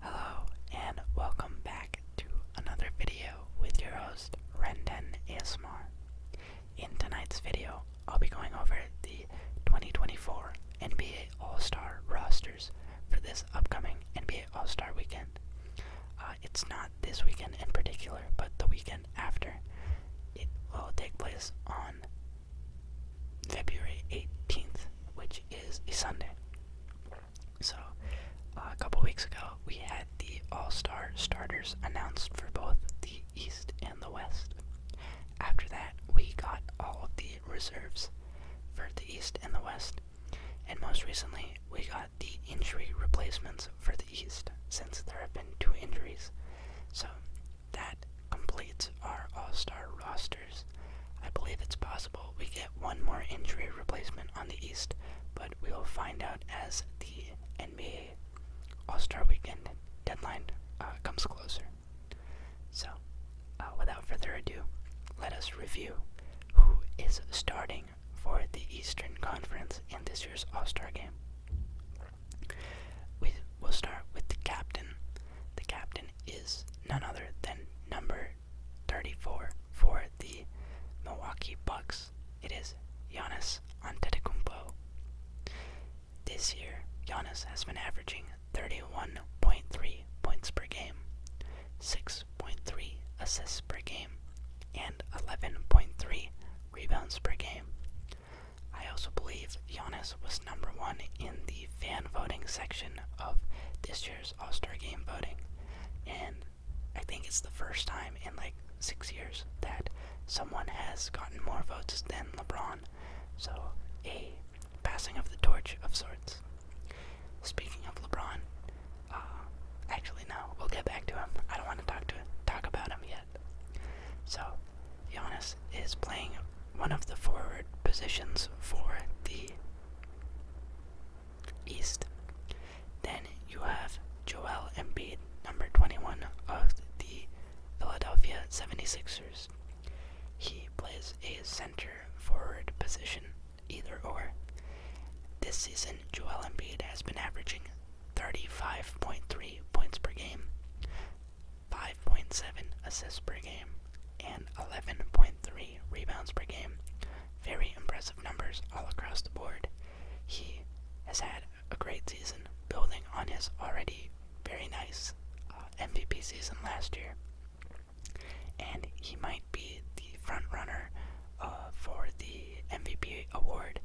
Hello, and welcome back to another video with your host, Renden ASMR. In tonight's video, I'll be going over the 2024 NBA All-Star rosters for this upcoming NBA All-Star weekend. Uh, it's not this weekend in particular, but the weekend after. It will take place on February 18th, which is a Sunday. So, uh, a couple weeks ago, we had the All Star starters announced for both the East and the West. After that, we got all of the reserves for the East and the West. And most recently, we got the injury replacements for the East, since there have been two injuries. So, that completes our All Star roster. I believe it's possible we get one more injury replacement on the East, but we will find out as the NBA All Star Weekend deadline uh, comes closer. So, uh, without further ado, let us review who is starting for the Eastern Conference in this year's All Star game. We will start with the captain. The captain is none other than number 34 for the Milwaukee Bucks. It is Giannis Antetokounmpo. This year, Giannis has been averaging 31.3 points per game, 6.3 assists per game, and 11.3 rebounds per game. I also believe Giannis was number one in the fan voting section of this year's all Star Game voting, and I think it's the first time in like six years that someone has gotten more votes than LeBron. So, a passing of the torch of sorts. Speaking of LeBron, uh, actually no, we'll get back to him. I don't want to talk to talk about him yet. So, Giannis is playing one of the forward positions for the East. Then you have Joel Embiid, number 21 of the Philadelphia 76ers. He plays a center forward position, either or. This season, Joel Embiid has been averaging 35.3 points per game, 5.7 assists per game, and 11.3 rebounds per game. Very impressive numbers all across the board. He has had a great season, building on his already very nice uh, MVP season last year. And he might be the front runner uh, for the MVP award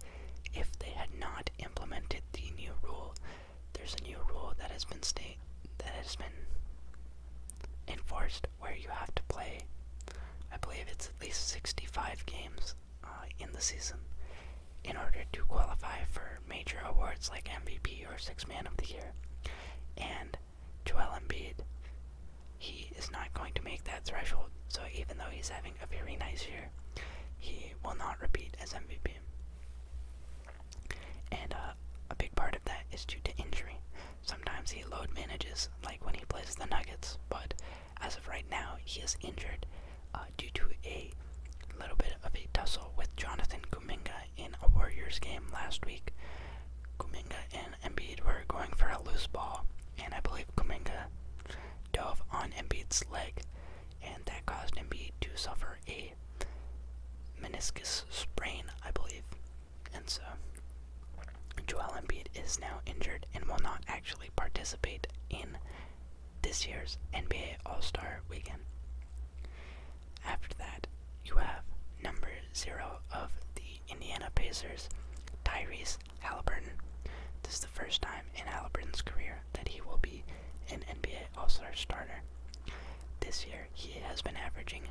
if they had not implemented the new rule. There's a new rule that has been state that has been enforced where you have to play, I believe it's at least 65 games uh, in the season in order to qualify for major awards like MVP or Six Man of the Year. And Joel Embiid, he is not going to make that threshold, so even though he's having a very nice year, he will not repeat as MVP. And uh, a big part of that is due to injury. Sometimes he load manages, like when he plays the Nuggets, but as of right now, he is injured uh, due to a little bit of a tussle with Jonathan Kuminga in a Warriors game last week. Kuminga and Embiid were going for a loose ball, and I believe Kuminga dove on Embiid's leg, and that caused Embiid to suffer a meniscus sprain, I believe. And so, Joel Embiid is now injured and will not actually participate in this year's NBA All Star weekend. After that, you have number zero of the Indiana Pacers, Tyrese Halliburton. This is the first time in Halliburton's career that he will be an NBA All Star starter. This year, he has been averaging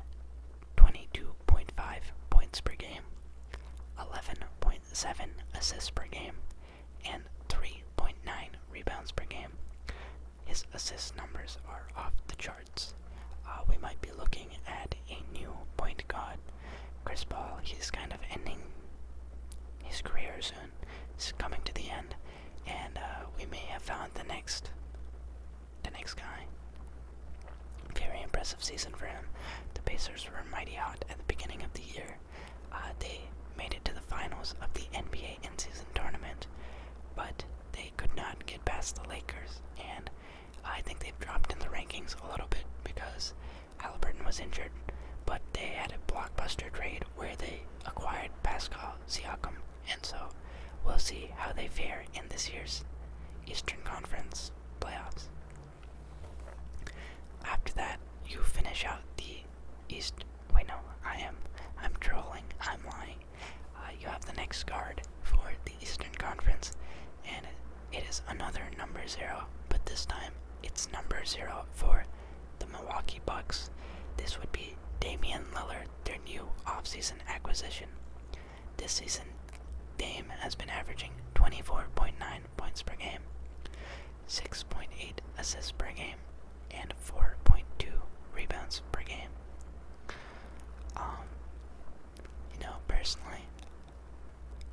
22.5 points per game, 11.7 assists per game, and 3.9 rebounds per game. His assist numbers are off the charts. Uh, we might be looking at a new point guard. Chris Paul, he's kind of ending his career soon. He's coming to the end, and uh, we may have found the next the next guy. Very impressive season for him. The Pacers were mighty hot at the beginning of the year. Uh, they made it to the finals of the NBA in season tournament, but they could not get past the Lakers. And I think they've dropped in the rankings a little bit because Halliburton was injured, but they had a blockbuster trade where they acquired Pascal Siakam and so we'll see how they fare in this year's Eastern Conference playoffs. After that, you finish out the East. Wait, no, I am. I'm trolling. I'm lying. Uh, you have the next card for the Eastern Conference, and it is another number zero, but this time it's number zero for the Milwaukee Bucks. This would be Damian Lillard, their new offseason acquisition. This season, Dame has been averaging 24.9 points per game, 6.8 assists per game, and 4.2 rebounds per game. Um, you know, personally,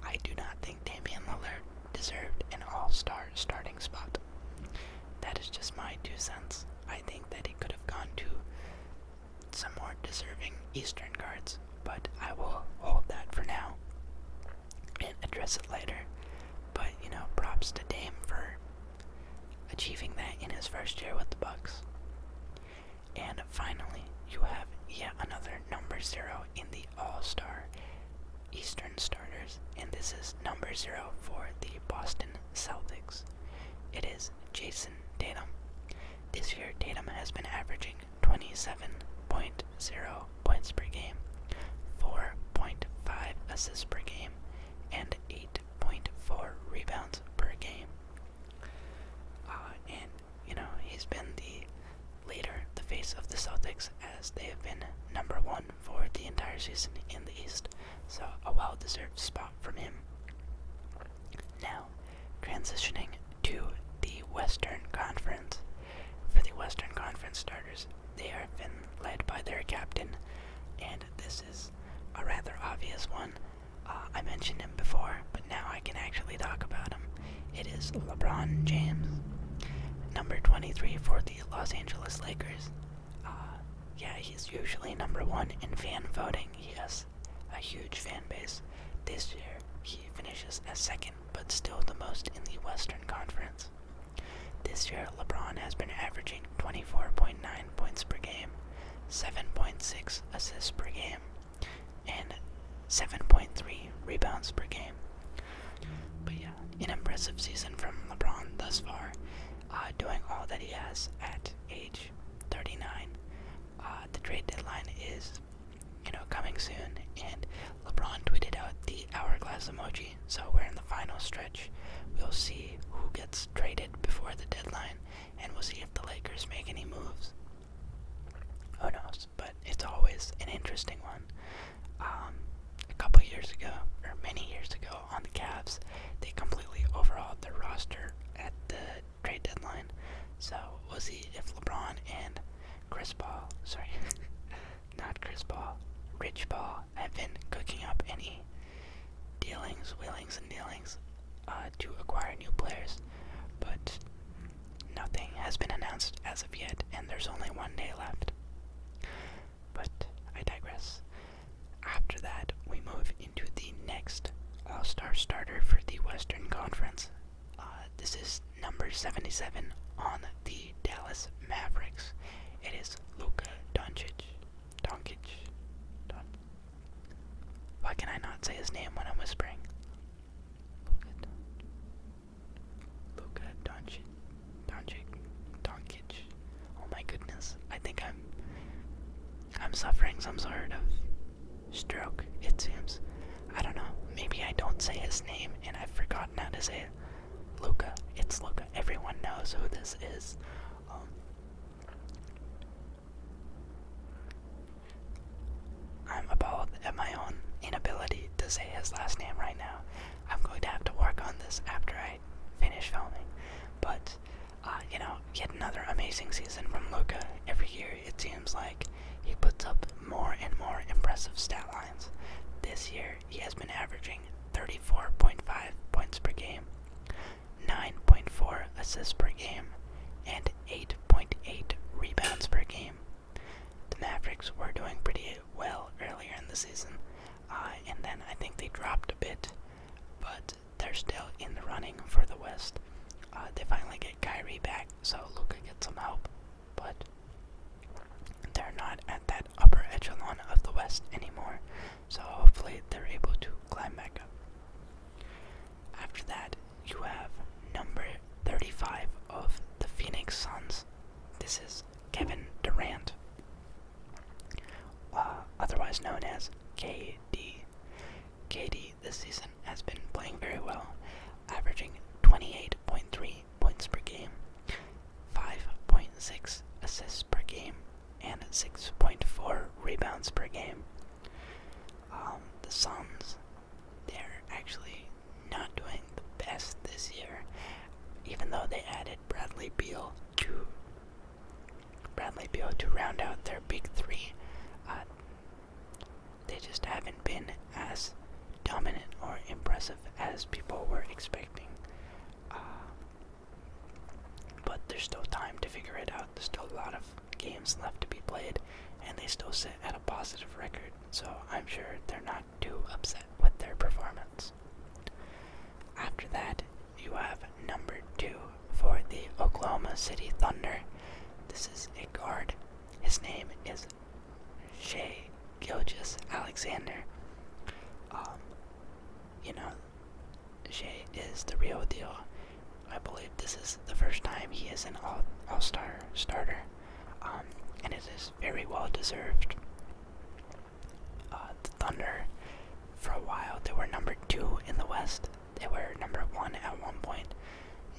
I do not think Damian Lillard deserved an all-star starting spot. That is just my two cents. I think that he could have gone to some more deserving Eastern guards, but I will hold that for now and address it later. But you know, props to Dame for achieving that in his first year with the Bucks. And finally, you have yet another number zero in the All-Star Eastern starters, and this is number zero for the Boston Celtics. It is Jason Tatum. This year, Tatum has been averaging 27.0 points per game, 4.5 assists per game, and 8.4 rebounds per game. Uh, and, you know, he's been the leader, the face of the Celtics, as they have been number one for the entire season in the East. So, a well deserved spot from him. Now, transitioning to the Western Conference. For the Western Conference starters, they are led by their captain, and this is a rather obvious one. Uh, I mentioned him before, but now I can actually talk about him. It is LeBron James, number 23 for the Los Angeles Lakers. Uh, yeah, he's usually number one in fan voting. Yes a huge fan base. This year, he finishes as second, but still the most in the Western Conference. This year, LeBron has been averaging 24.9 points per game, 7.6 assists per game, and 7.3 rebounds per game. But yeah, an impressive season from LeBron thus far, uh, doing all that he has at age 39. Uh, the trade deadline is, you know, coming soon, and LeBron tweeted out the hourglass emoji. So we're in the final stretch. We'll see who gets traded before the deadline, and we'll see if the Lakers make any moves. Who knows? But it's always an interesting one. Um, a couple years ago, or many years ago, on the Cavs, they completely overhauled their roster at the trade deadline. So we'll see if LeBron and Chris Paul, sorry, not Chris Paul, Rich Paul, have been cooking up any dealings, wheelings, and dealings uh, to acquire new players. But nothing has been announced as of yet, and there's only one day left. But I digress. After that, we move into the next All uh, Star starter for the Western Conference. Uh, this is number 77 on the Dallas Mavericks. It is Luka Doncic. Doncic. Don Why can I not say his name when I'm whispering? Luka Doncic. Doncic. Doncic. Oh my goodness. I think I'm I'm suffering some sort of stroke, it seems. I don't know. Maybe I don't say his name and I've forgotten how to say it. Luca. It's Luca. Everyone knows who this is. Um, I'm appalled at my own inability to say his last name right now. I'm going to have to work on this after I finish filming. But uh, you know, yet another amazing season from Luca. Every year it seems like he puts up more and more impressive stat lines. This year he has been averaging 34.5 points per game, 9.4 assists per game, and 8.8 rebounds per game. The Mavericks were doing pretty well earlier in the season, uh, and then I think they dropped a bit, but they're still in the running for the West. Uh, they finally get Kyrie back, so Luca gets some help, but they're not at that upper echelon of the West anymore. So hopefully they're able to climb back up. After that, you have number 35 of the Phoenix Suns. This is Kevin Durant, uh, otherwise known as KD. KD this season has been playing very well, averaging 28.3 points per game, 5.6 assists per game, and 6.4 rebounds per game. Um, the Suns, they're actually not doing the best this year, even though they added Bradley Beal to Bradley Beal to round out their big three. Uh, they just haven't been as dominant or impressive as people were expecting. Uh, but there's still time to figure it out. There's still a lot of games left to be played, and they still sit at a positive record, so I'm sure they're not too upset with their performance. After that you have number two for the Oklahoma City Thunder. This is a guard. His name is Shea Gilgis Alexander. Um, you know, Shea is the real deal. I believe this is the first time he is an all, all star starter, um, and it is very well deserved. Uh, the Thunder, for a while, they were number two in the West they were number one at one point.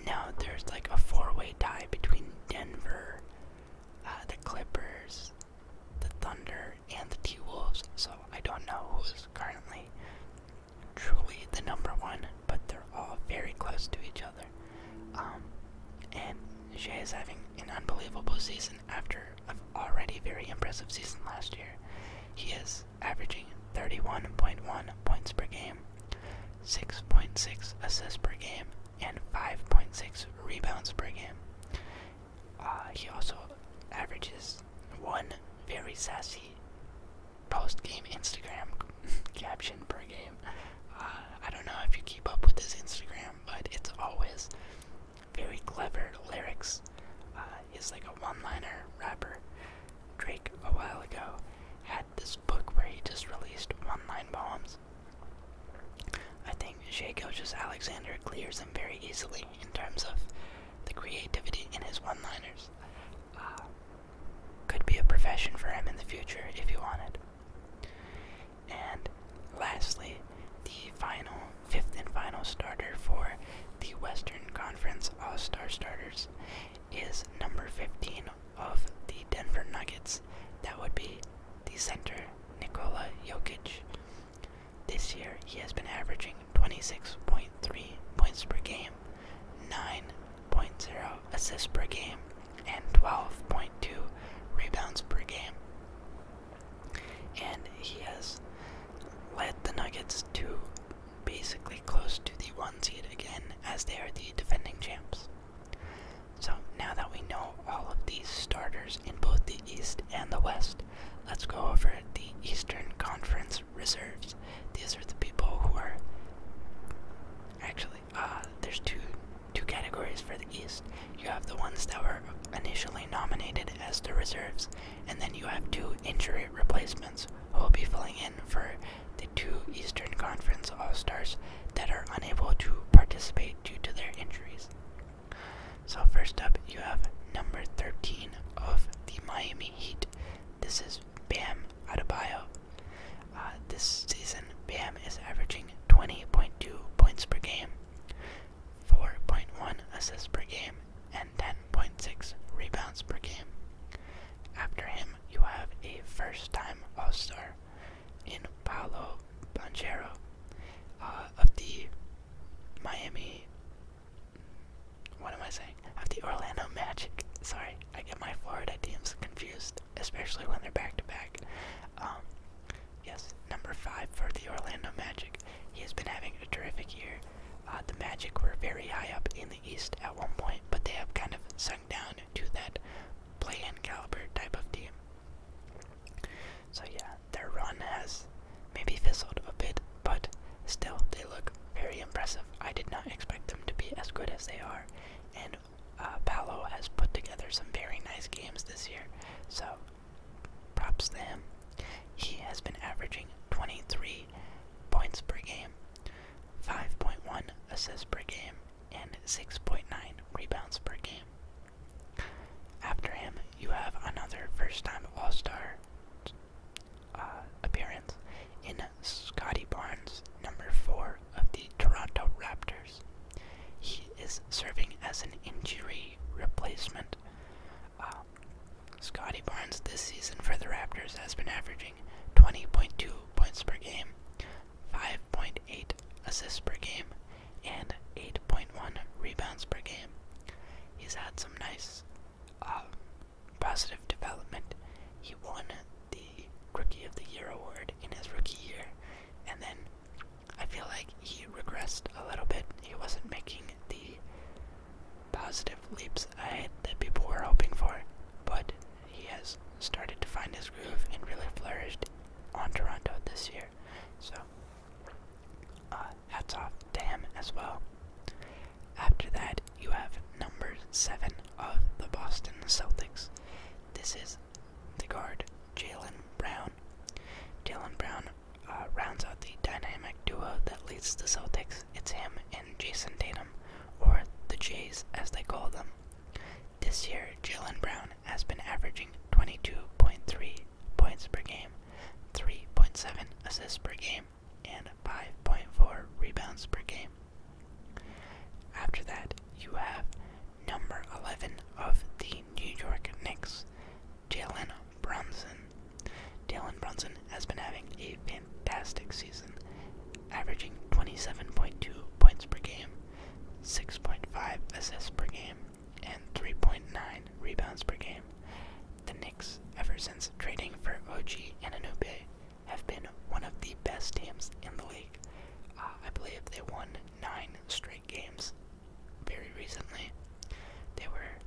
Now there's like a four-way tie between Denver, uh, the Clippers, the Thunder, and the T Wolves. So I don't know who's currently truly the number one, but they're all very close to each other. Um, and Shea is having an unbelievable season after an already very impressive season last year. He is averaging 31.1 points per game, 6.6 assists per game, and 5.6 rebounds per game. Uh, he also averages one very sassy post game Instagram caption per game. Uh, I don't know if you keep up with his Instagram, but it's always very clever lyrics. Uh, he's like a one-liner rapper. Drake a while ago had this book where he just released one-line poems. I think Shea Gilgis Alexander clears him very easily in terms of the creativity in his one-liners. Uh, could be a profession for him in the future if he wanted. And lastly, the final fifth and final starter for the Western Conference All Star starters is number 15 of the Denver Nuggets. That would be the center, Nikola Jokic. This year, he has been averaging 26.3 points per game, 9.0 assists per game, and 12.2 rebounds per game. And he has led the Nuggets to basically close to the one seed again, as they are the defending champs. So now that we know all of these starters in both the East and the West, let's go over the Eastern Conference reserves. These are the people who are actually uh, there's two two categories for the East. You have the ones that were initially nominated as the reserves, and then you have two injury replacements who will be filling in for the two Eastern Conference All Stars that are unable to participate due to their injuries. So, first up, you have number 13 of the Miami Heat. This is Bam Adebayo. Uh, this season, Bam is averaging 20.2 points per game, 4.1 assists per game, and 10 10.6 rebounds per game. After him, you have a first time All Star in Paolo Banchero uh, of the Miami. What am I saying? Of the Orlando Magic. Sorry, I get my Florida teams confused, especially when they're back to back. yes, number five for the Orlando Magic. He has been having a terrific year. Uh, the Magic were very high up in the East at one point, but they have kind of sunk down to that play-in caliber type of team. So yeah, their run has maybe fizzled a bit, but still they look very impressive. I did not expect them to be as good as they are, and uh, Paolo has put together some very nice games this year. So props them. He has been averaging 23 points per game, 5.1 assists per game, and 6.9 rebounds per game. After him, you have another first time All Star uh, appearance in Scotty Barnes, number 4 of the Toronto Raptors. He is serving as an injury replacement uh, well. Scotty Barnes this season for the Raptors has been averaging 20.2 points per game, 5.8 assists per game, and 8.1 rebounds per game. He's had some nice um, positive development. He won the Rookie of the Year award in his rookie year, and then I feel like he regressed a little bit. He wasn't making the positive leaps ahead that people were hoping for, but he has started to find his groove and really flourished on Toronto this year. So, uh, hats off to him as well. After that, you have number 7 of the Boston Celtics. This is the guard, Jalen Brown. Jalen Brown uh, rounds out the dynamic duo that leads the Celtics. It's him and Jason Tatum, or the Jays as they call them. This year, Jalen Brown has been averaging 22.3 points per game, 3.7 assists per game, and 5.4 rebounds per game. After that, you have number 11 of the New York Knicks. Jalen Brunson. Jalen Brunson has been having a fantastic season, averaging 27.2 points per game, 6.5 assists per game, and 3.9 rebounds per game. The Knicks, ever since trading for OG and Anube, have been one of the best teams in the league. Uh, I believe they won nine straight games very recently. They were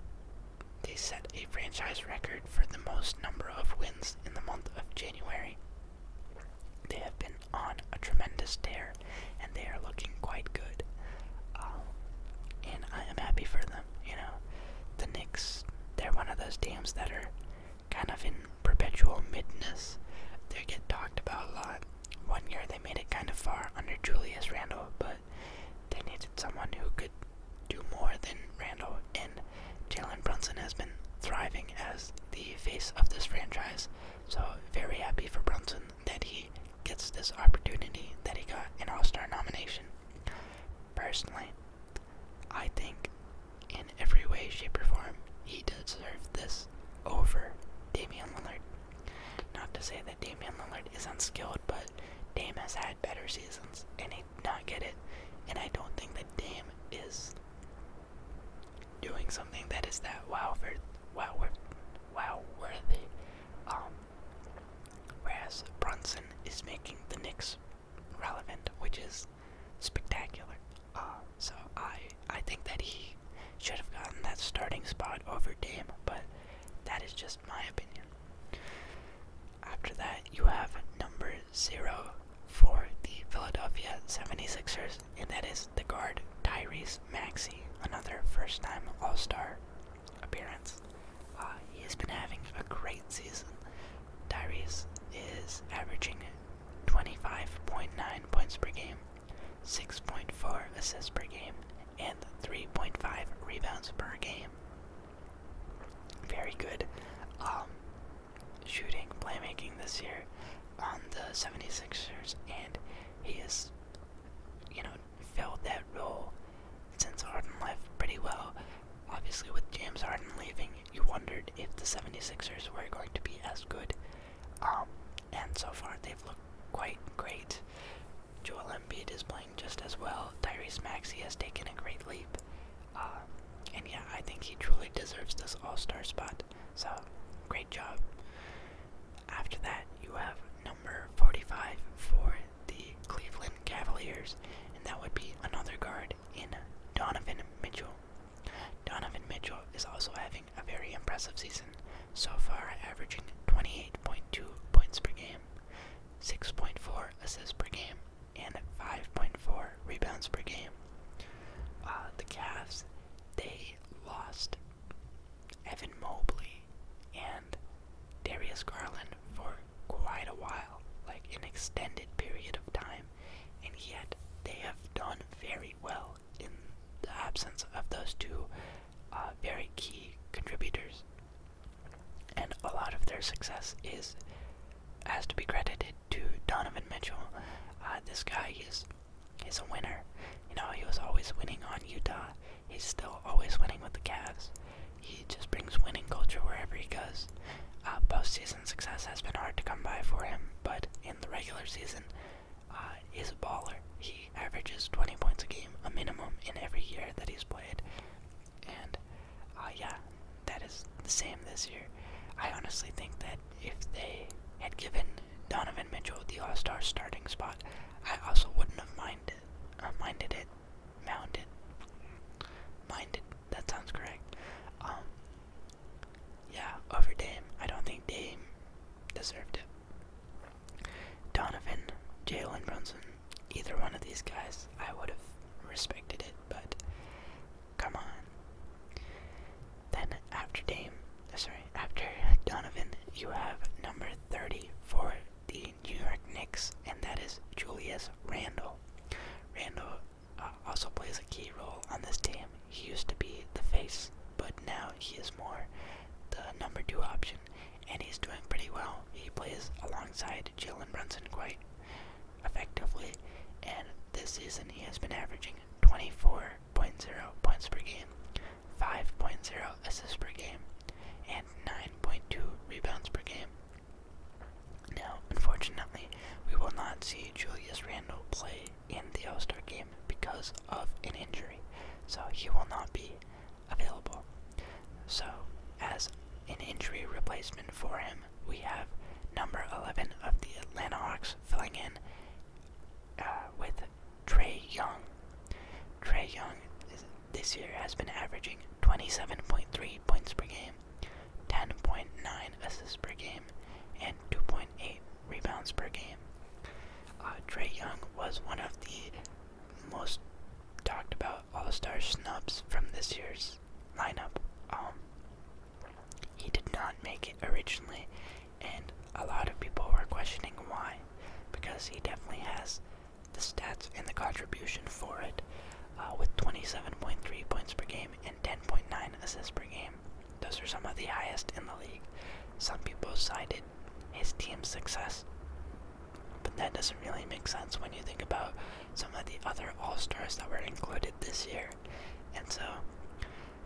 they set a franchise record for the most number of wins in the month of January. They have been on a tremendous tear, and they are looking quite good. Um, and I am happy for them. You know, the Knicks, they're one of those teams that are kind of in perpetual midness. They get talked about a lot. One year they made it kind of far under Julius Randle, but they needed someone who could do more than Randall, and Jalen Brunson has been thriving as the face of this franchise. So, very happy for Brunson that he gets this opportunity that he got an All Star nomination. Personally, I think in every way, shape, or form, he deserves this over Damian Lillard. Not to say that Damian Lillard is unskilled, but Dame has had better seasons and he not get it. And I don't think that Dame is doing something that is that wow for wow worth wow worthy. Um, whereas Brunson is making the Knicks relevant, which is spectacular. Uh, so I I think that he should have gotten that starting spot over Dame, but that is just my opinion. After that, you have number zero for the Philadelphia 76ers, and that is the guard Tyrese Maxey, another first time All Star appearance. Uh, he has been having a great season. Tyrese is averaging 25.9 points per game, 6.4 assists per game, and 3.5 rebounds per game very good um, shooting, playmaking this year on the 76ers, and he has, you know, filled that role since Harden left pretty well. Obviously, with James Harden leaving, you wondered if the 76ers were going to be as good. Um, and so far, they've looked quite great. Joel Embiid is playing just as well. Tyrese Maxey has taken a great leap. Uh, and yeah, I think he truly deserves this all star spot. So, great job. After that, you have number 45 for the Cleveland Cavaliers, and that would be another guard in Donovan Mitchell. Donovan Mitchell is also having a very impressive season so far, averaging 28.2 points per game, 6.4 assists per game, and 5.4 rebounds per game. Uh, the Cavs, they lost Evan Mobley and Darius Garland for quite a while, like an extended period of time, and yet they have done very well in the absence of those two uh, very key contributors. And a lot of their success is has to be credited to Donovan Mitchell. Uh, this guy is he's a winner. You know, he was always winning on Utah. He's still always winning with the Cavs. He just brings winning culture wherever he goes. Uh, postseason success has been hard to come by for him, but in the regular season, uh, he's a baller. He averages 20 points a game, a minimum, in every year that he's played. And uh, yeah, that is the same this year. I honestly think that if they had given Donovan Mitchell the All Star starting spot, I also wouldn't have minded, uh, minded it, mounted, minded. That sounds correct. Um, yeah, over Dame. I don't think Dame deserved it. Donovan, Jalen Brunson, either one of these guys, I would have respected it, but come on. Then after Dame, uh, sorry, after Donovan, you have number 30 for the New York Knicks, and that is Julius Randle. Randle uh, also plays a key role on this team. He used to be the face, but now he is more the number two option, and he's doing pretty well. He plays alongside Jalen Brunson quite effectively, and this season he has been averaging 24.0 points per game, 5.0 assists per game, and 9.2 rebounds per game. Now, unfortunately, we will not see Julius Randle play in the All Star game because of an injury, so he will not be available. So, as an injury replacement for him, we have number 11 of the Atlanta Hawks filling in uh, with Trey Young. Trey Young this year has been averaging 27.3 points per game, 10.9 assists per game, and 2.8 rebounds per game. Uh, Trey Young was one of the most talked about all-Star snubs from this year's lineup. Um, he did not make it originally, and a lot of people were questioning why, because he definitely has the stats and the contribution for it, uh, with 27.3 points per game and 10.9 assists per game. Those are some of the highest in the league. Some people cited his team's success but that doesn't really make sense when you think about some of the other All Stars that were included this year. And so,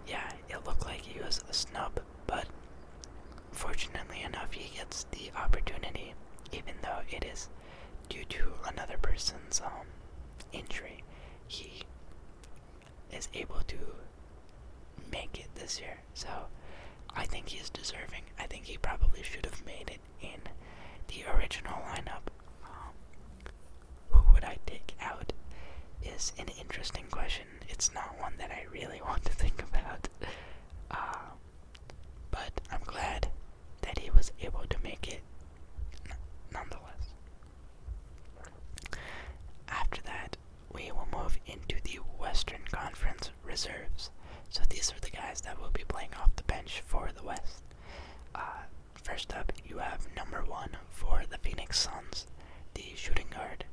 yeah, it looked like he was a snub, but fortunately enough, he gets the opportunity, even though it is due to another person's um, injury. He is able to make it this year. So I think he's deserving. I think he probably should have made it in the original lineup. Um, who would I take out is an interesting question. It's not one that I really want to think about. Uh, but I'm glad that he was able to make it nonetheless. After that, we will move into the Western Conference reserves. So these are the guys that will be playing off the bench for the West. Uh, first up, you have number one for the Phoenix Suns, the shooting guard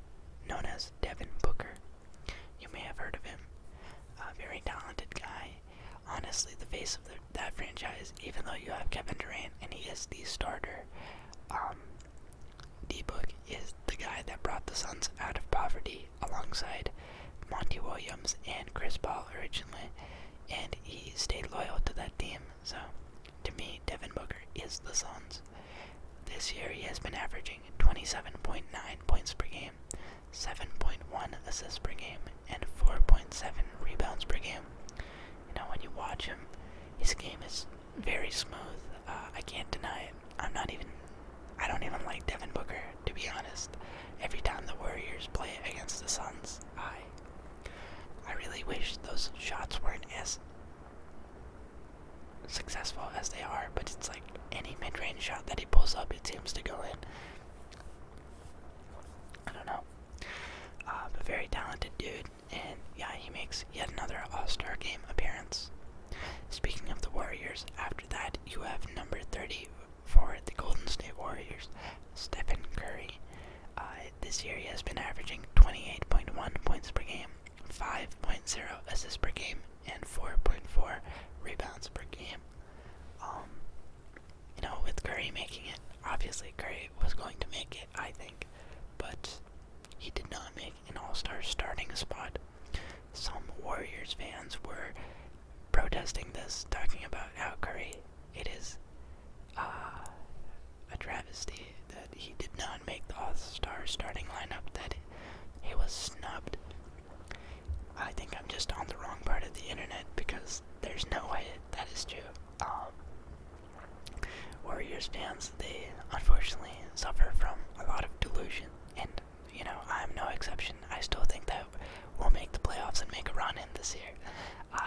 known as Devin Booker. You may have heard of him. A very talented guy. Honestly, the face of that franchise, even though you have Kevin Durant and he is the starter. Um, D Book is the guy that brought the Suns out of poverty alongside Monty Williams and Chris Paul originally, and he stayed loyal to that team. So, to me, Devin Booker is the Suns. This year, he has been averaging 27.9 points per game, 7.1 assists per game, and 4.7 rebounds per game. Now, when you watch him, his game is very smooth. Uh, I can't deny it. I'm not even I don't even like Devin Booker, to be honest. Every time the Warriors play against the Suns, I I really wish those shots weren't as successful as they are, but it's like any mid range shot that he pulls up it seems to go in. I don't know. Uh, um, but very talented dude, and yeah, he makes yet another All Star game appearance. Speaking of the Warriors, after that you have number 30 for the Golden State Warriors, Stephen Curry. Uh, this year he has been averaging 28.1 points per game, 5.0 assists per game, and 4.4 rebounds per game. Um, you know, with Curry making it, obviously Curry was going to make it, I think, but he did not make an all-star starting spot. Some Warriors fans were protesting this, talking about how Curry, it is uh, a travesty that he did not make the All-Star starting lineup, that he was snubbed. I think I'm just on the wrong part of the internet because there's no way that is true. Um, Warriors fans, they unfortunately suffer from a lot of delusion, and you know, I'm no exception. I still think that we'll make the playoffs and make a run in this year. Uh,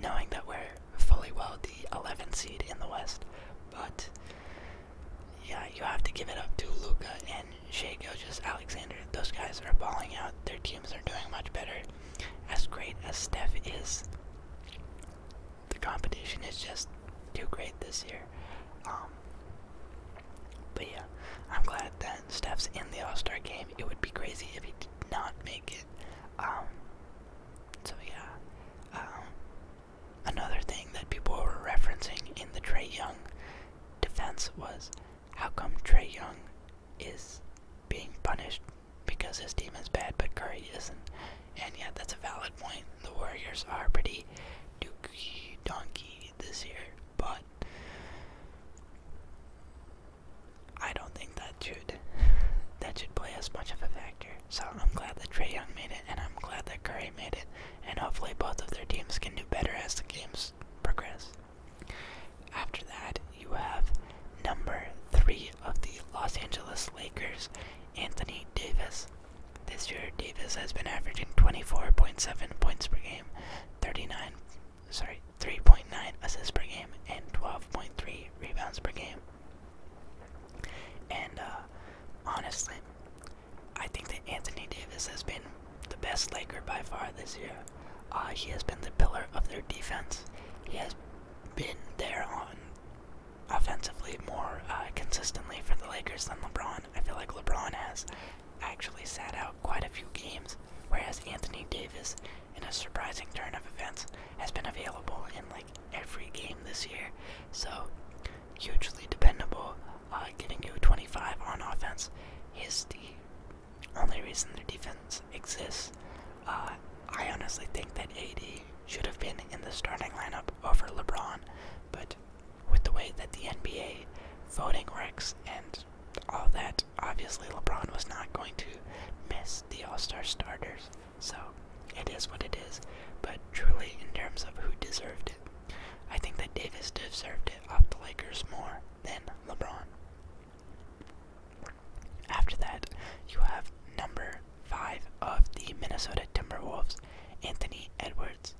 knowing that we're fully well the 11th seed in the West. But, yeah, you have to give it up to Luca and Shea Gilgis Alexander. Those guys are balling out. Their teams are doing much better. As great as Steph is, the competition is just too great this year. Um, but yeah, I'm glad that Steph's in the All Star game. It would be crazy if he did not make it. Um, so yeah, um, another thing that people were referencing in the Trey Young defense was how come Trey Young is being punished because his team is bad but Curry isn't. And yeah, that's a valid point. The Warriors are pretty dookie donkey this year but I don't think that should that should play as much of a factor. So I'm glad that Trey Young made it, and I'm glad that Curry made it, and hopefully both of their teams can do better as the games progress. After that, you have number three of the Los Angeles Lakers, Anthony Davis. This year, Davis has been averaging 24.7 points per game 39, sorry, 3.9 assists per game and 12.3 rebounds per game. And uh, honestly, I think that Anthony Davis has been the best Laker by far this year. Uh, he has been the pillar of their defense. He has been there on offensively more uh, consistently for the Lakers than LeBron. I feel like LeBron has actually sat out quite a few games, whereas Anthony Davis, in a surprising turn of events, has been available in like every game this year. So, hugely dependable, uh, getting you 25 on offense. He's the only reason their defense exists. Uh, I honestly think that AD should have been in the starting lineup over LeBron, but with the way that the NBA voting works and all that, obviously LeBron was not going to miss the All Star starters. So it is what it is. But truly, in terms of who deserved it, I think that Davis deserved it off the Lakers more than LeBron. After that, you have number five of the Minnesota Timberwolves, Anthony Edwards.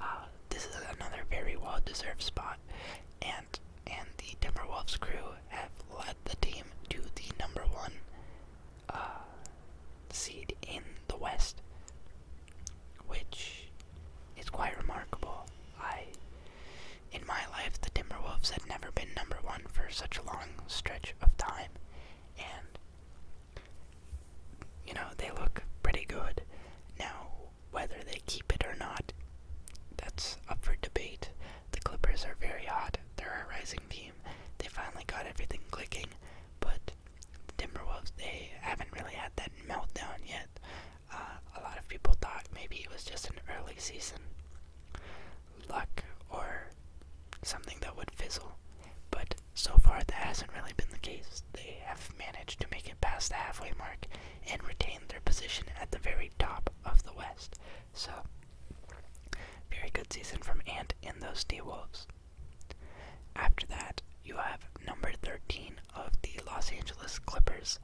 Uh, this is another very well-deserved spot, and and the Timberwolves crew have led the team to the number one uh, seed in the West, which is quite remarkable. I, in my life, the Timberwolves had never been number one for such a long stretch of time, and you know, they look pretty good. Now, whether they keep it or not, that's up for debate. The Clippers are very hot. They're a rising team. They finally got everything clicking, but the Timberwolves, they haven't really had that meltdown yet. Uh, a lot of people thought maybe it was just an early season luck or something that would fizzle, but so far that hasn't really been the case they have managed to make it past the halfway mark and retain their position at the very top of the West. So, very good season from Ant and those D Wolves. After that, you have number 13 of the Los Angeles Clippers,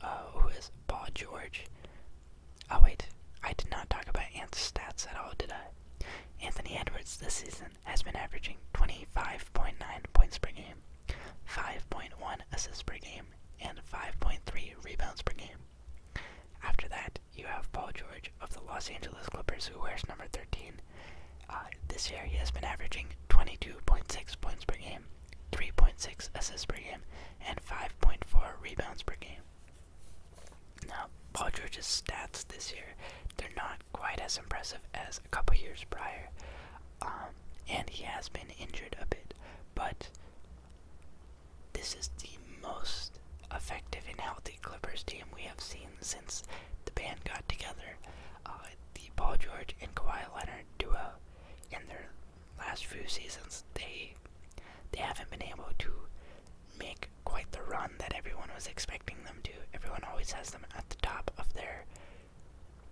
uh, who is Paul George. Oh, wait, I did not talk about Ant's stats at all, did I? Anthony Edwards this season has been averaging 25.9 points per game, 5.1 assists per game, and 5.3 rebounds per game. After that, you have Paul George of the Los Angeles Clippers, who wears number 13. Uh, this year, he has been averaging 22.6 points per game, 3.6 assists per game, and 5.4 rebounds per game. Now, Paul George's stats this year, they're not quite as impressive as a couple years prior. Um, and he has been injured a bit, but this is the most effective and healthy Clippers team we have seen since the band got together. Uh, the Paul George and Kawhi Leonard duo in their last few seasons, they they haven't been able to make quite the run that everyone was expecting them to. Everyone always has them at the top of their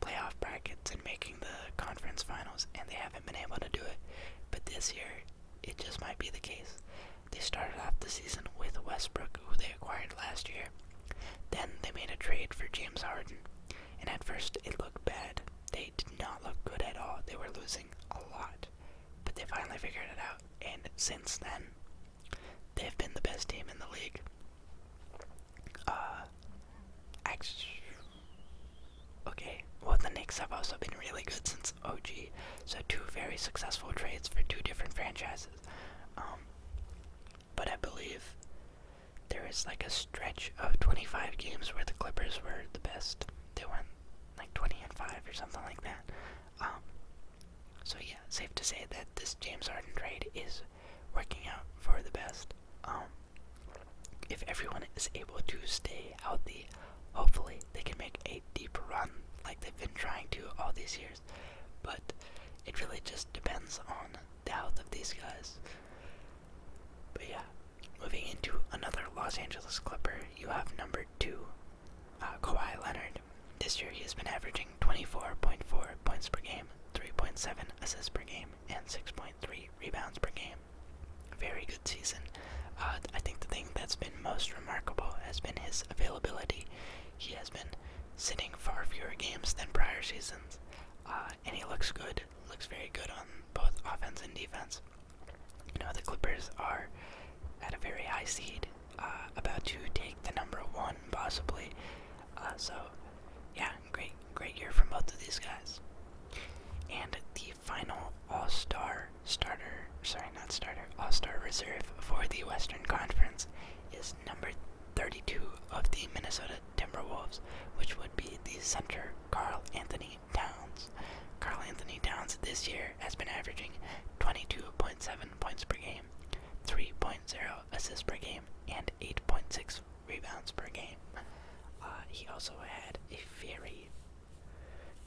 playoff brackets and making the conference finals, and they haven't been able to do it. But this year, it just might be the case. They started off the season with Westbrook, who they acquired last year. Then they made a trade for James Harden, and at first it looked bad. They did not look good at all. They were losing a lot, but they finally figured it out, and since then, they've been the best team in the league. Uh, okay. Well, the Knicks have also been really good since OG. So two very successful trades for two different franchises. Um, but I believe there is like a stretch of 25 games where the Clippers were the best. They won like 20 and 5 or something like that. Um, so yeah, safe to say that this James Harden trade is working out for the best. Um, if everyone is able to stay healthy, hopefully they can make a deep run like they've been trying to all these years. But it really just depends on the health of these guys. But yeah, moving into another Los Angeles Clipper, you have number two, uh, Kawhi Leonard. This year he has been averaging 24.4 points per game, 3.7 assists per game, and 6.3 rebounds per game. Very good season. Uh, I think the thing that's been most remarkable has been his availability. He has been sitting far fewer games than prior seasons, uh, and he looks good. Looks very good on both offense and defense. You know, the Clippers are at a very high seed, uh, about to take the number one possibly uh, so, yeah, great, great year from both of these guys. And the final All Star starter, sorry, not starter, All Star reserve for the Western Conference is number 32 of the Minnesota Timberwolves, which would be the center Carl Anthony Towns. Carl Anthony Towns this year has been averaging 22.7 points per game, 3.0 assists per game, and 8.6 rebounds per game. Uh, he also had a very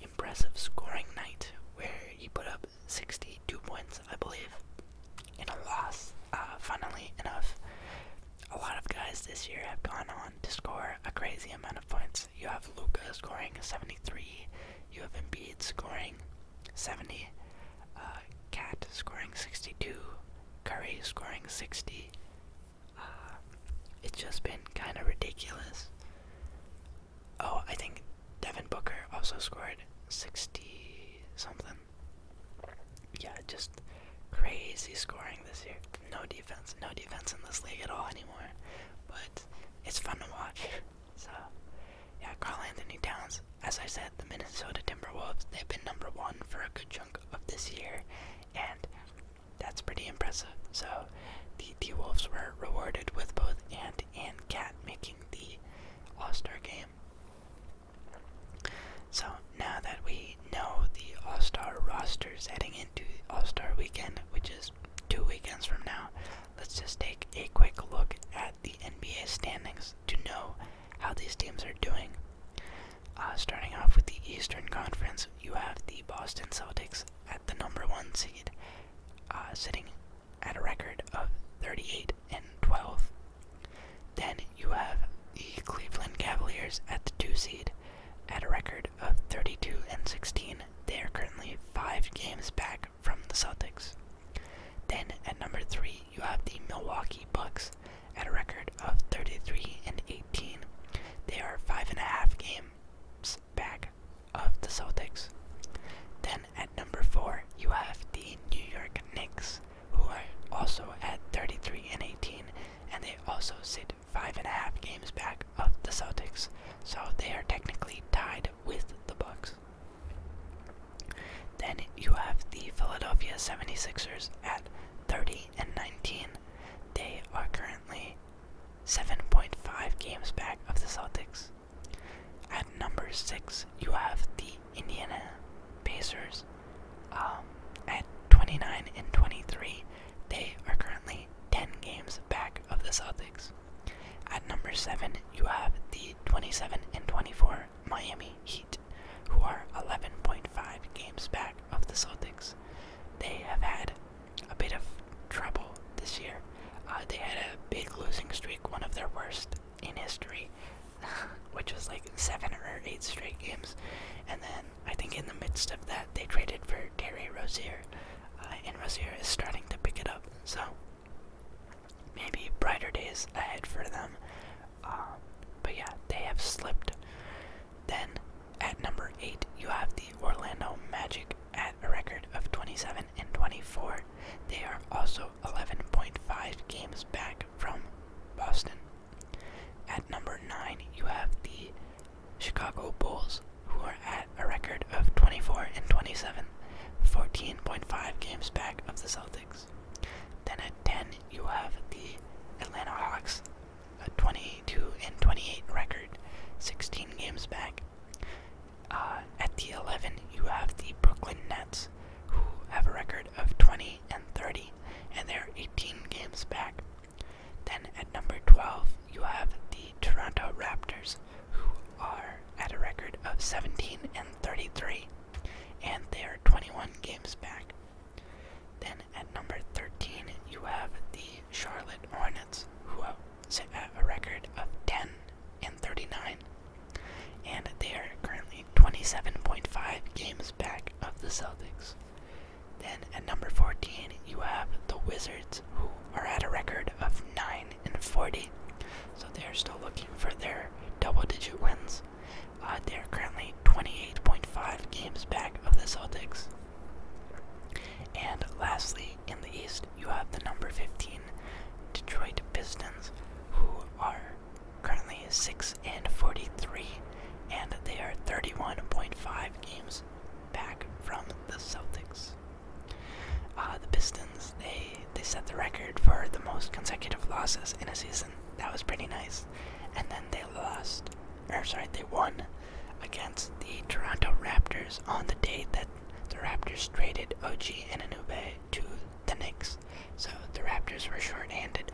impressive scoring night where he put up 62 points, I believe, in a loss. Uh, funnily enough, a lot of guys this year have gone on to score a crazy amount of points. You have Luca scoring 73, you have Embiid scoring 70. Uh, Cat scoring 62. Curry scoring 60. Uh, it's just been kind of ridiculous. Oh, I think Devin Booker also scored 60 something. Yeah, just crazy scoring this year. No defense, no defense in this league at all anymore. But it's fun to watch. So, yeah, Carl Anthony Towns as I said, the Minnesota Timberwolves, they've been number one for a good chunk of this year, and that's pretty impressive. So the Timberwolves were rewarded with both Ant and Cat making the All Star game. So now that we know the All Star rosters heading into All Star weekend, which is two weekends from now, let's just take a quick look at the NBA standings to know how these teams are doing. Uh, starting off with the Eastern Conference, you have the Boston Celtics at the number one seed, uh, sitting at a record of 38 and 12. Then you have the Cleveland Cavaliers at the two seed, at a record of 32 and 16. They are currently five games back from the Celtics. Then at number three, you have the Milwaukee Bucks at a record of 33 and 18. They are five and a half games back of the Celtics. Then at number four, you have the New York Knicks, who are also at 33 and 18, and they also sit five and a half games back of the Celtics. So they are technically tied with the Bucks. Then you have the Philadelphia 76ers at 30 and 19. They are currently 7.5 games back of the Celtics. At number 6, you have the Indiana Pacers. Um, at 29 and 23, they are currently 10 games back of the Celtics. At number 7, you have the 27 and 24 Miami Heat who are 11.5 games back of the Celtics. They have had a bit of trouble this year. Uh, they had a big losing streak, one of their worst in history, which was like seven or eight straight games. And then I think in the midst of that, they traded for Terry Rozier, uh, and Rozier is starting to pick it up. So maybe brighter days ahead for them. Um, but yeah, they have slipped. Then at number 8, you have the Orlando Magic at a record of 27 and 24. They are also 11.5 games back from Boston. At number 9, you have the Chicago Bulls, who are at a record of 24 and 27, 14.5 games back of the Celtics. Then at 10, you have the Atlanta Hawks, a 22 and 28 record, 16 games back. Uh, at the 11, you have the Brooklyn Nets, who have a record of 20 and 30, and they're 18 games back. Then at number 12, you have the Toronto Raptors, who are at a record of 17 and 33, and they are 21 games back. Then at number 13, you have the Charlotte Hornets, who sit at a record of 10 and 39, and they are currently 27.5 games back of the Celtics. Then at number 14, you have the Wizards, who are at a record of 9 and 40, so they are still looking for their double digit wins. Uh, they are currently 28.5 games back of the Celtics. And lastly, in the East, you have the number 15 Detroit Pistons, who are currently 6 and 43, and they are 31.5 games back from the Celtics. Uh, the Pistons, they they set the record for the most consecutive losses in a season. That was pretty nice. And then they lost, or sorry, they won against the Toronto Raptors on the day that the Raptors traded O.G. and Anube to the Knicks. So the Raptors were short-handed.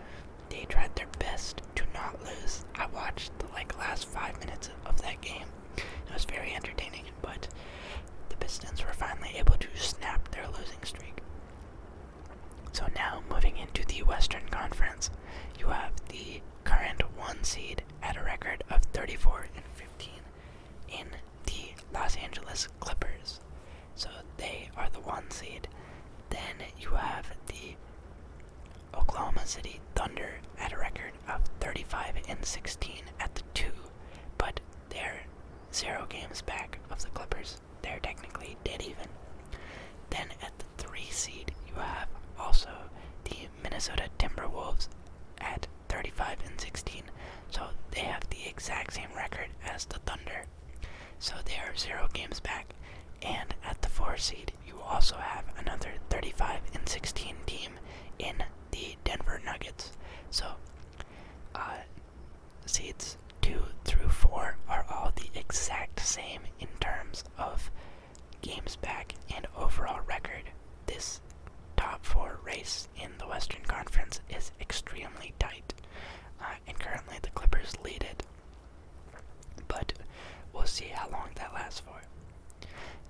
They tried their best to not lose. I watched the like last five minutes of that game. It was very entertaining, but the Pistons were finally able to snap their losing streak. So now moving into the Western Conference, you have the current one seed at a record of 34 and 15 in the Los Angeles Clippers. So they are the one seed. Then you have the Oklahoma City Thunder at a record of 35 and 16 at the 2, but they're 0 games back of the Clippers. They're technically dead even. Then at the three seed, you have also the Minnesota Timberwolves at 35 and 16. So they have the exact same record as the Thunder. So they are zero games back. And at the four seed, you also have another 35 and 16 team in the Denver Nuggets. So uh, Seeds 2 through 4 are all the exact same in terms of games back and overall record. This top 4 race in the Western Conference is extremely tight, uh, and currently the Clippers lead it. But we'll see how long that lasts for.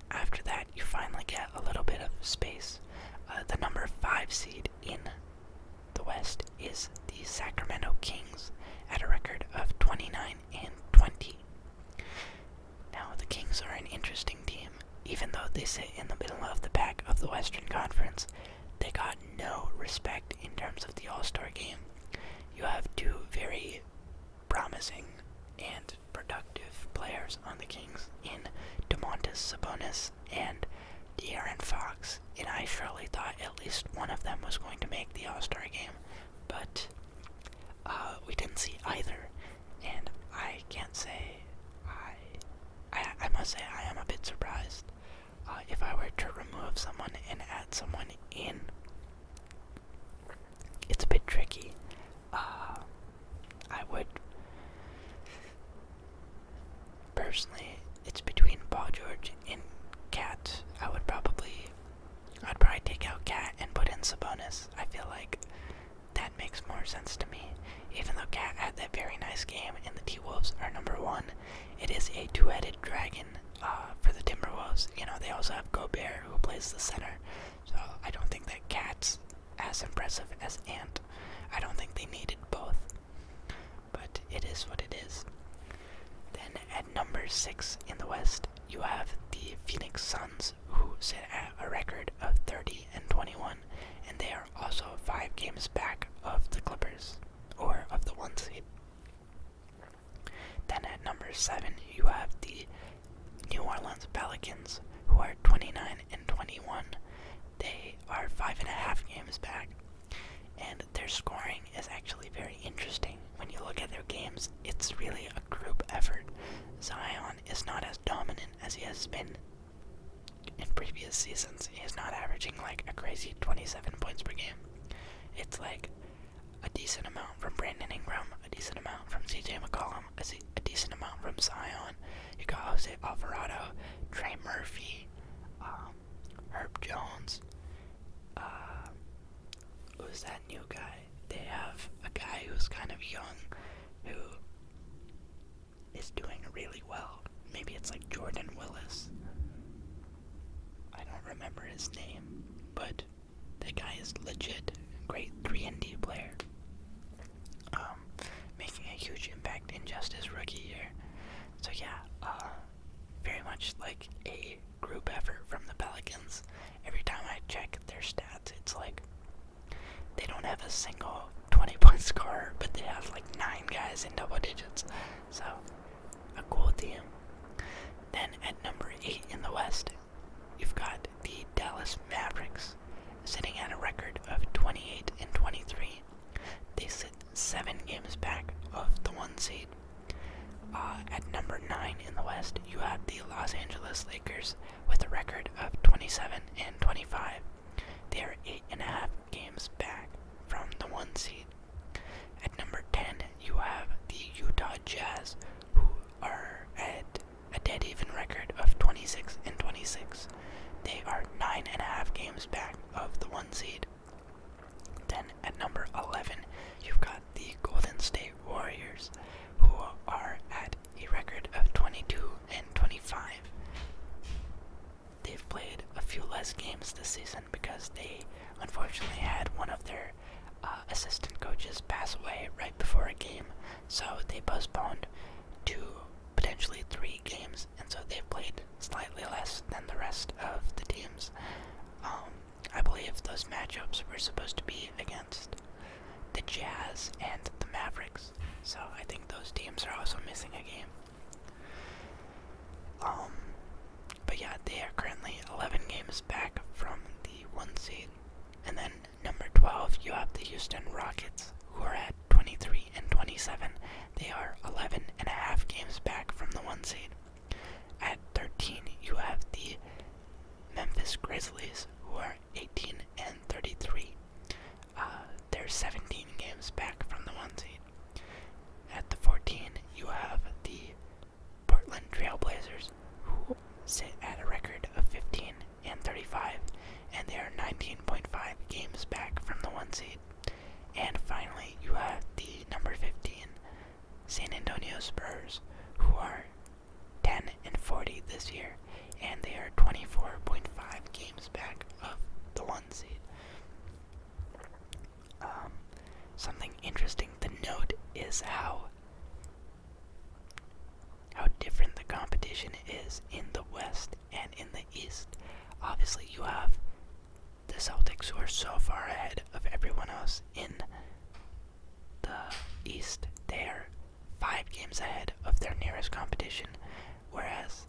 After that, you finally get a little bit of space. Uh, the number 5 seed in the West is the Sacramento Kings at a record of 29 and 20. Now, the Kings are an interesting team. Even though they sit in the middle of the pack of the Western Conference, they got no respect in terms of the All Star game. You have two very promising and productive players on the Kings in DeMontis Sabonis and De'Aaron Fox, and I surely thought at least one of them was going to make the All Star game, but uh, we didn't see either, and I can't say I, I, must say I am a bit surprised. Uh, if I were to remove someone and add someone in, it's a bit tricky. Uh, I would. Personally, it's between Paul George and Cat. I would probably, I'd probably take out Cat and put in Sabonis. I feel like that makes more sense to me. Even though Cat had that very nice game and the Timberwolves are number one, it is a two-headed dragon uh, for the Timberwolves. You know, they also have Gobert who plays the center. So I don't think that Cat's as impressive as Ant. I don't think they needed both but it is what it is. Then at number six in the West, you have the Phoenix Suns, who sit at a record of 30 and 21, and they are also five games back of the Clippers, or of the one seed. Then at number seven, you have the New Orleans Pelicans, who are 29 and 21, they are five and a half games back, and their scoring is actually very interesting. When you look at their games, it's really a group effort. Zion is not as dominant as he has been in previous seasons. He's not averaging like a crazy 27 points per game. It's like a decent amount from Brandon Ingram, a decent amount from CJ McCollum, a decent amount from Zion. You got Jose Alvarado, Trey Murphy, um, Herb Jones. Uh, who's that new guy? They have a guy who's kind of young who is doing really well. Maybe it's like Jordan Willis. I don't remember his name, but that guy is legit great 3 and D player. Um, making a huge impact in just his rookie year. So yeah, uh, very much like a group effort from the Pelicans. Every time I check their stats, it's like they don't have a single 20 point scorer, but they have like nine guys in double digits. So a cool team. Then at number eight in the West, you've got the Dallas Mavericks, sitting at a record of 28 and 23. They sit seven games back of the one seed. Uh, at number nine in the West, you have the Los Angeles Lakers with a record of 27 and 25. They are eight and a half games back from the one seed. At number 10, you have the Utah Jazz, who are at a dead even record of 26 and 26. They are nine and a half games back of the one seed. Then at number 11, you've got the Golden State Warriors, who are at a record of 22 and 25. They've played a few less games this season because they unfortunately had one of their uh, assistant coaches pass away right before a game, so they postponed two potentially three games, and so they've played slightly less than the rest of the teams. Um, I believe those matchups were supposed to be against the Jazz and the Mavericks, so I think those teams are also missing a game. Um, but yeah, they are currently 11 games back from the one seed. And then number 12, you have the Houston Rockets, who are at 23 and 27, they are 11 and a half games back from the one seed. At 13, you have the Memphis Grizzlies, who are 18 and 33. Uh, they're 17 games back from the one seed. At the 14, you have the Portland Trailblazers, who sit at a record of 15 and 35, and they are 19.5 games back from the one seed. And finally, you have the number 15 San Antonio Spurs, who are 10 and 40 this year, and they are 24.5 games back of the one seed. Um, something interesting to note is how how different the competition is in the West and in the East. Obviously, you have the Celtics are so far ahead of everyone else in the East. They are five games ahead of their nearest competition, whereas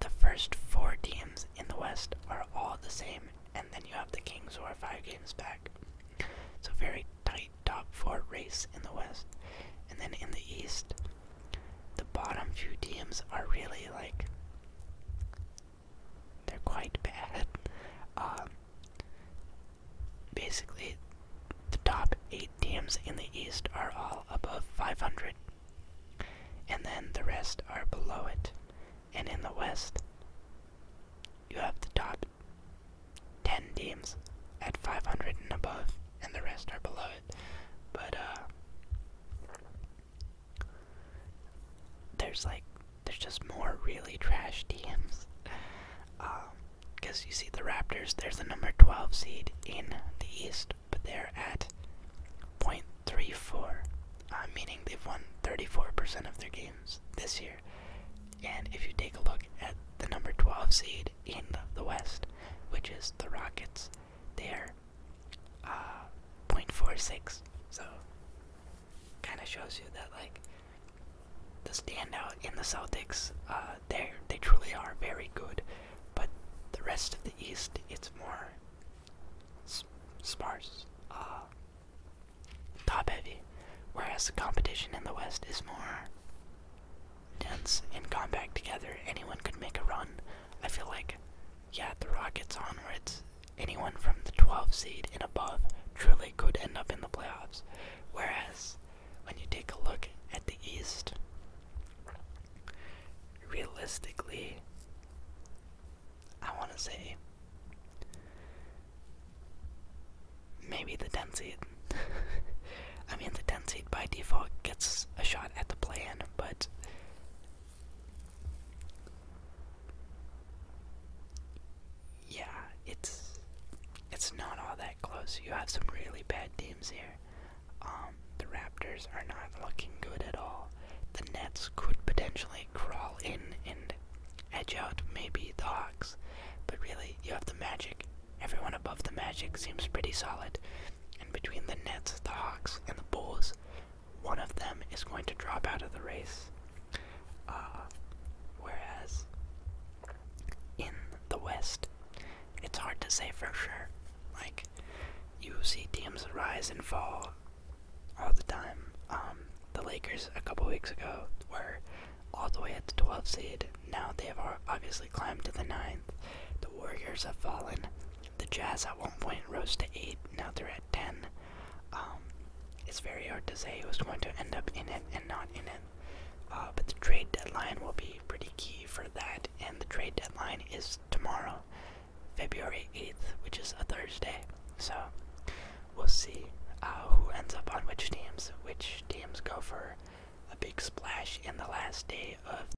the first four teams in the West are all the same, and then you have the Kings who are five games back. It's a very tight top four race in the West. And then in the East, the bottom few teams are really like they're quite bad. Um, basically, the top eight teams in the East are all above 500, and then the rest are below it. And in the West, you have the top 10 teams at 500 and above, and the rest are below it. But, uh, there's like there's just more really trash DMs, because um, you see the Raptors, there's the number 12 seed in the East, but they're at point three four, uh, meaning they've won 34% of their games this year. And if you take a look at the number 12 seed in the West, which is the Rockets, there uh 0.46 so kind of shows you that like the standout in the Celtics uh they they truly are very good but the rest of the East it's more sparse uh, top heavy whereas the competition in the West is more dense and compact together anyone could make a run I feel like yeah, the Rockets onwards, anyone from the 12 seed and above truly could end up in the playoffs. Whereas, when you take a look at the East, realistically, I want to say maybe the 10 seed. I mean, the 10 seed by default gets a shot at the play in, but yeah, it's it's not all that close. You have some really bad teams here. Um, the Raptors are not looking good at all. The Nets could potentially crawl in and edge out maybe the Hawks, but really you have the Magic. Everyone above the Magic seems pretty solid, and between the Nets, the Hawks, and the Bulls, one of them is going to drop out of the race. Uh, whereas in the West, it's hard to say for sure. Like, you see teams rise and fall all the time. Um, the Lakers a couple weeks ago were all the way at the 12th seed. Now they have obviously climbed to the 9th. The Warriors have fallen the Jazz at one point rose to 8, now they're at 10. Um, it's very hard to say who's going to end up in it and not in it. Uh, but the trade deadline will be pretty key for that, and the trade deadline is tomorrow, February 8th, which is a Thursday. So we'll see uh, who ends up on which teams, which teams go for a big splash in the last day of